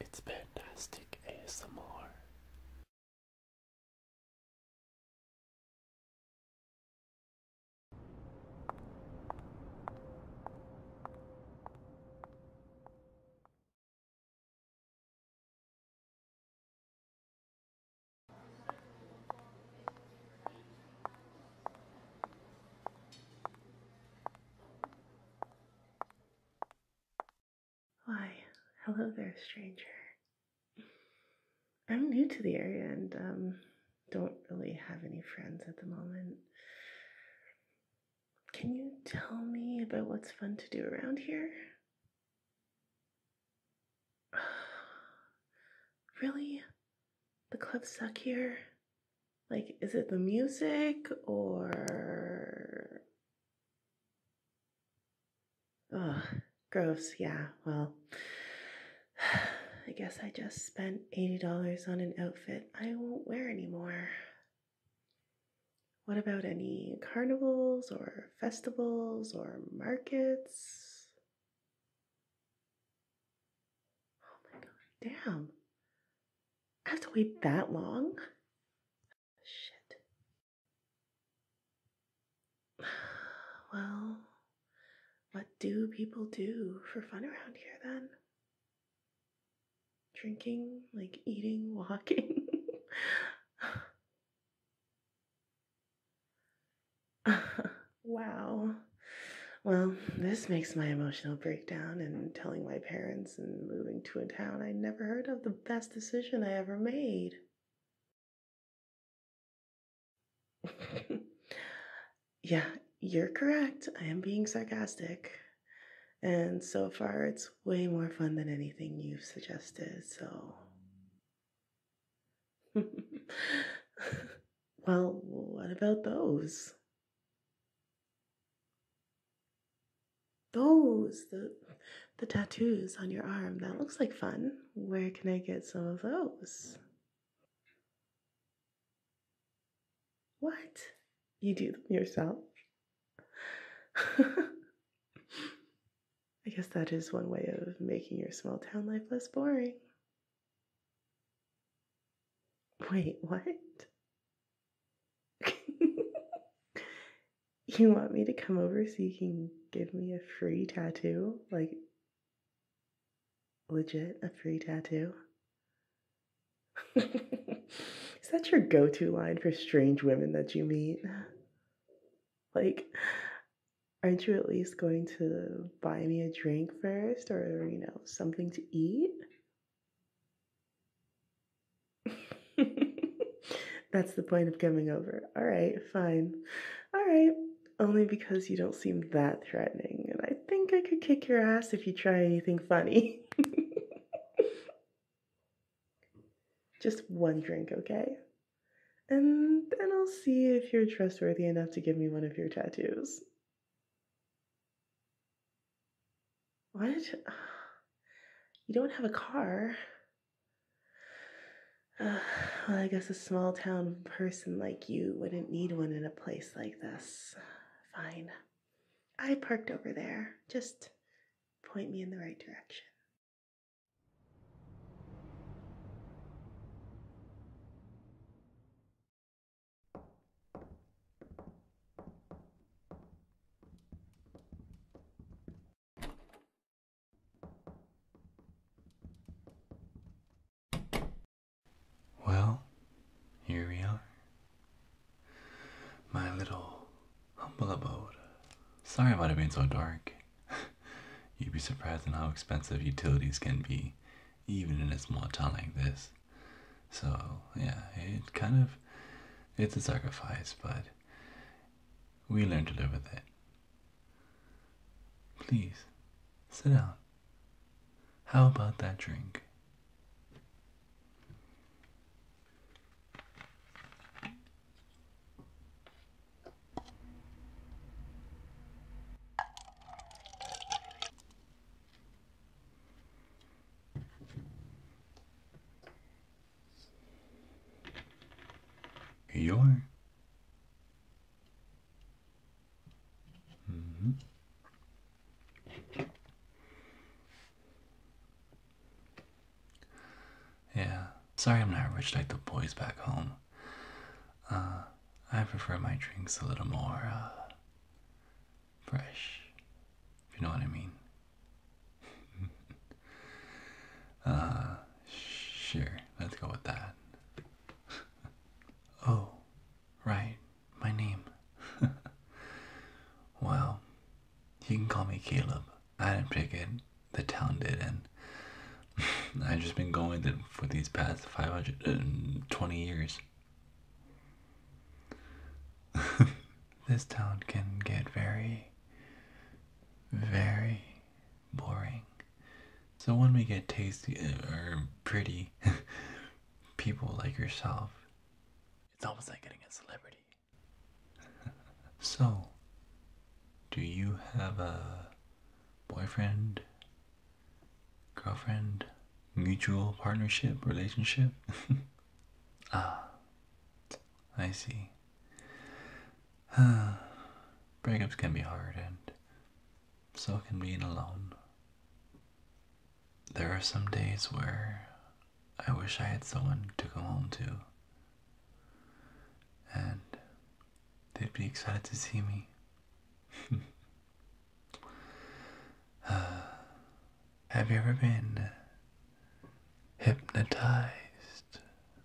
It's fantastic ASMR. Why, hello there, stranger. I'm new to the area and um, don't really have any friends at the moment. Can you tell me about what's fun to do around here? really? the clubs suck here? Like, is it the music or. Oh, gross. Yeah, well, I guess I just spent $80 on an outfit I won't wear anymore. What about any carnivals or festivals or markets? Oh my gosh, damn. I have to wait that long? Shit. Well, what do people do for fun around here then? Drinking, like eating, walking. wow. Well, this makes my emotional breakdown and telling my parents and moving to a town I never heard of the best decision I ever made. yeah, you're correct. I am being sarcastic. And so far, it's way more fun than anything you've suggested, so. well, what about those? Those, the, the tattoos on your arm, that looks like fun. Where can I get some of those? What? You do them yourself? I guess that is one way of making your small town life less boring. Wait, what? you want me to come over so you can give me a free tattoo? Like, legit, a free tattoo? Is that your go to line for strange women that you meet? Like, aren't you at least going to buy me a drink first or, you know, something to eat? That's the point of coming over. All right, fine. All right, only because you don't seem that threatening, and I think I could kick your ass if you try anything funny. Just one drink, okay? And then I'll see if you're trustworthy enough to give me one of your tattoos. What? You don't have a car. well, I guess a small town person like you wouldn't need one in a place like this. Fine. I parked over there. Just point me in the right direction. Well, here we are. My little humble abode. Sorry about it being so dark. You'd be surprised at how expensive utilities can be, even in a small town like this. So, yeah, it kind of, it's a sacrifice, but we learn to live with it. Please, sit down. How about that drink? Here you are. -hmm. Yeah. Sorry I'm not rich like the boys back home. Uh, I prefer my drinks a little more, uh, fresh. you know what I mean. Uh, sure. Let's go with that. oh, right. My name. well, you can call me Caleb. I didn't pick it. The town did, and I've just been going with for these past 520 uh, years. this town can get very, very boring. So when we get tasty uh, or pretty people like yourself, it's almost like getting a celebrity. so, do you have a boyfriend, girlfriend, mutual partnership, relationship. ah, I see. Breakups can be hard, and so can being alone. There are some days where I wish I had someone to come home to and they'd be excited to see me. Uh, have you ever been uh, hypnotized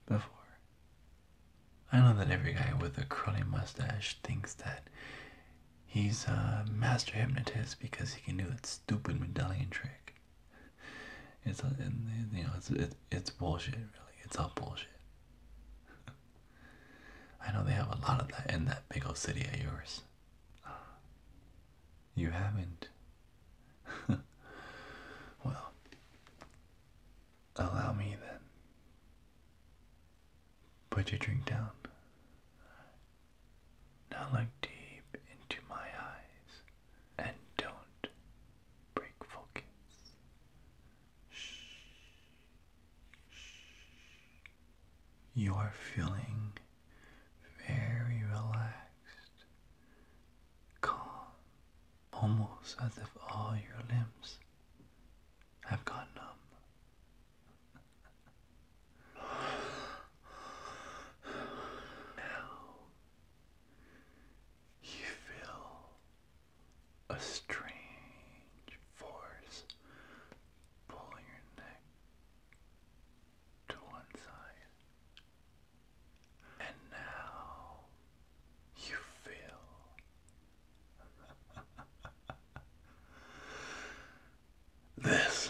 before? I know that every guy with a curly mustache thinks that he's a master hypnotist because he can do that stupid medallion trick. It's you know it's it, it's bullshit really. It's all bullshit. I know they have a lot of that in that big old city of yours. You haven't. well, allow me then. Put your drink down. Now look deep into my eyes and don't break focus. You are feeling very relaxed, calm, almost as if all your limbs have gone numb. now you feel a strange force pull your neck to one side. And now you feel this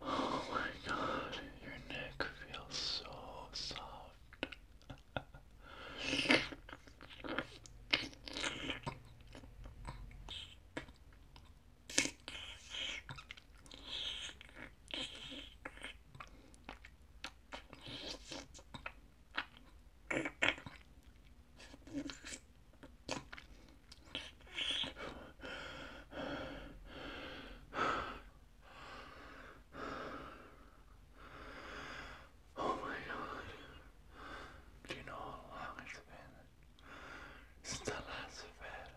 Oh my god, your neck feels so soft. Oh my god. Do you know how long it's been since I last fed?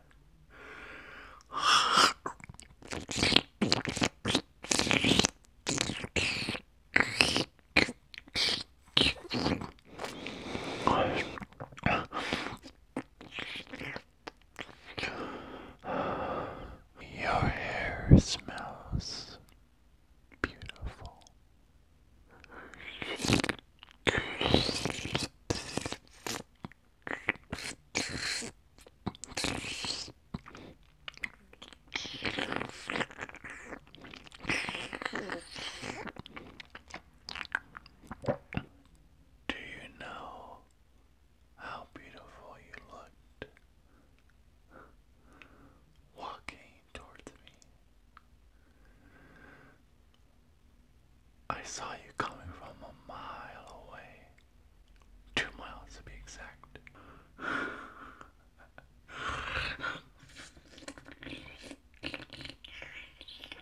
Your hair smells beautiful. Do you know how beautiful you looked walking towards me? I saw you coming from a mile away. Two miles to be exact.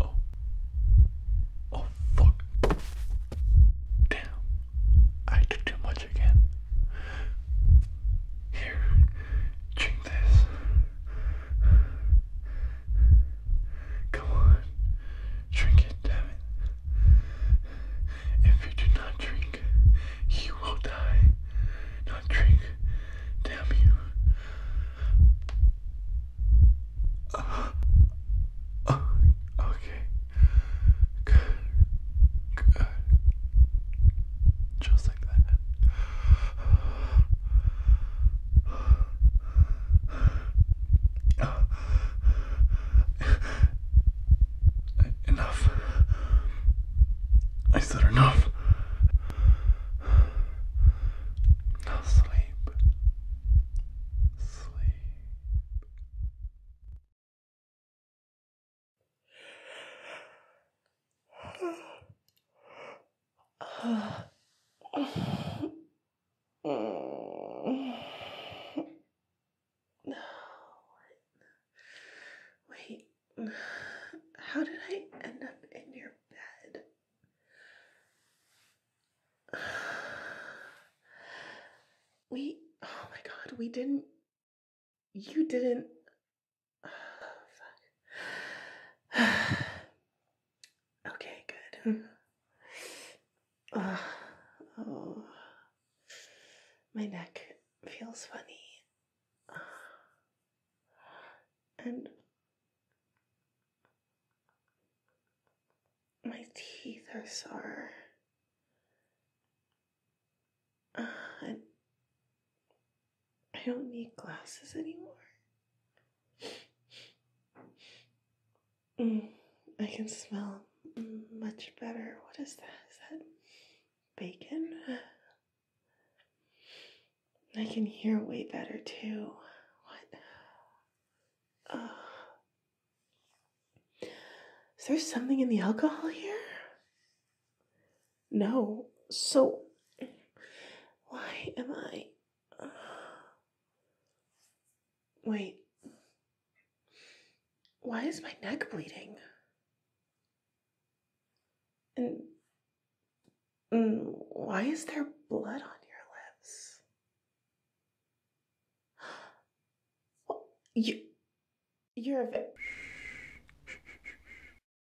Oh. Oh fuck. Damn. I took too much again. Here. Drink this. Come on, drink it, damn If you do not drink, you will die. Not drink, damn you. Uh, okay. Good. Good. Just like that. Enough. I said enough. Now sleep. Sleep. Wait. Wait. How did I end up in your bed? We. Oh my god, we didn't. You didn't. Oh, fuck. Okay, good. Mm-hmm. oh, my neck feels funny. And my teeth are sore. Uh, I don't need glasses anymore. Mm, I can smell much better. What is that? Is that bacon? I can hear way better too. What? is there something in the alcohol here? No. So, why am I. Wait. Why is my neck bleeding? And, and mm, why is there blood on your lips? You, you're a.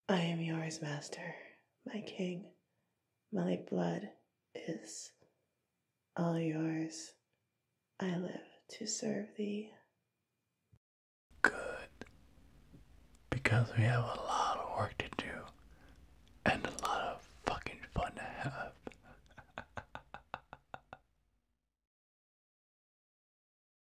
I am yours, Master, my King. My blood is all yours. I live to serve thee. Good. Because we have a lot of work to do and a lot of fucking fun to have.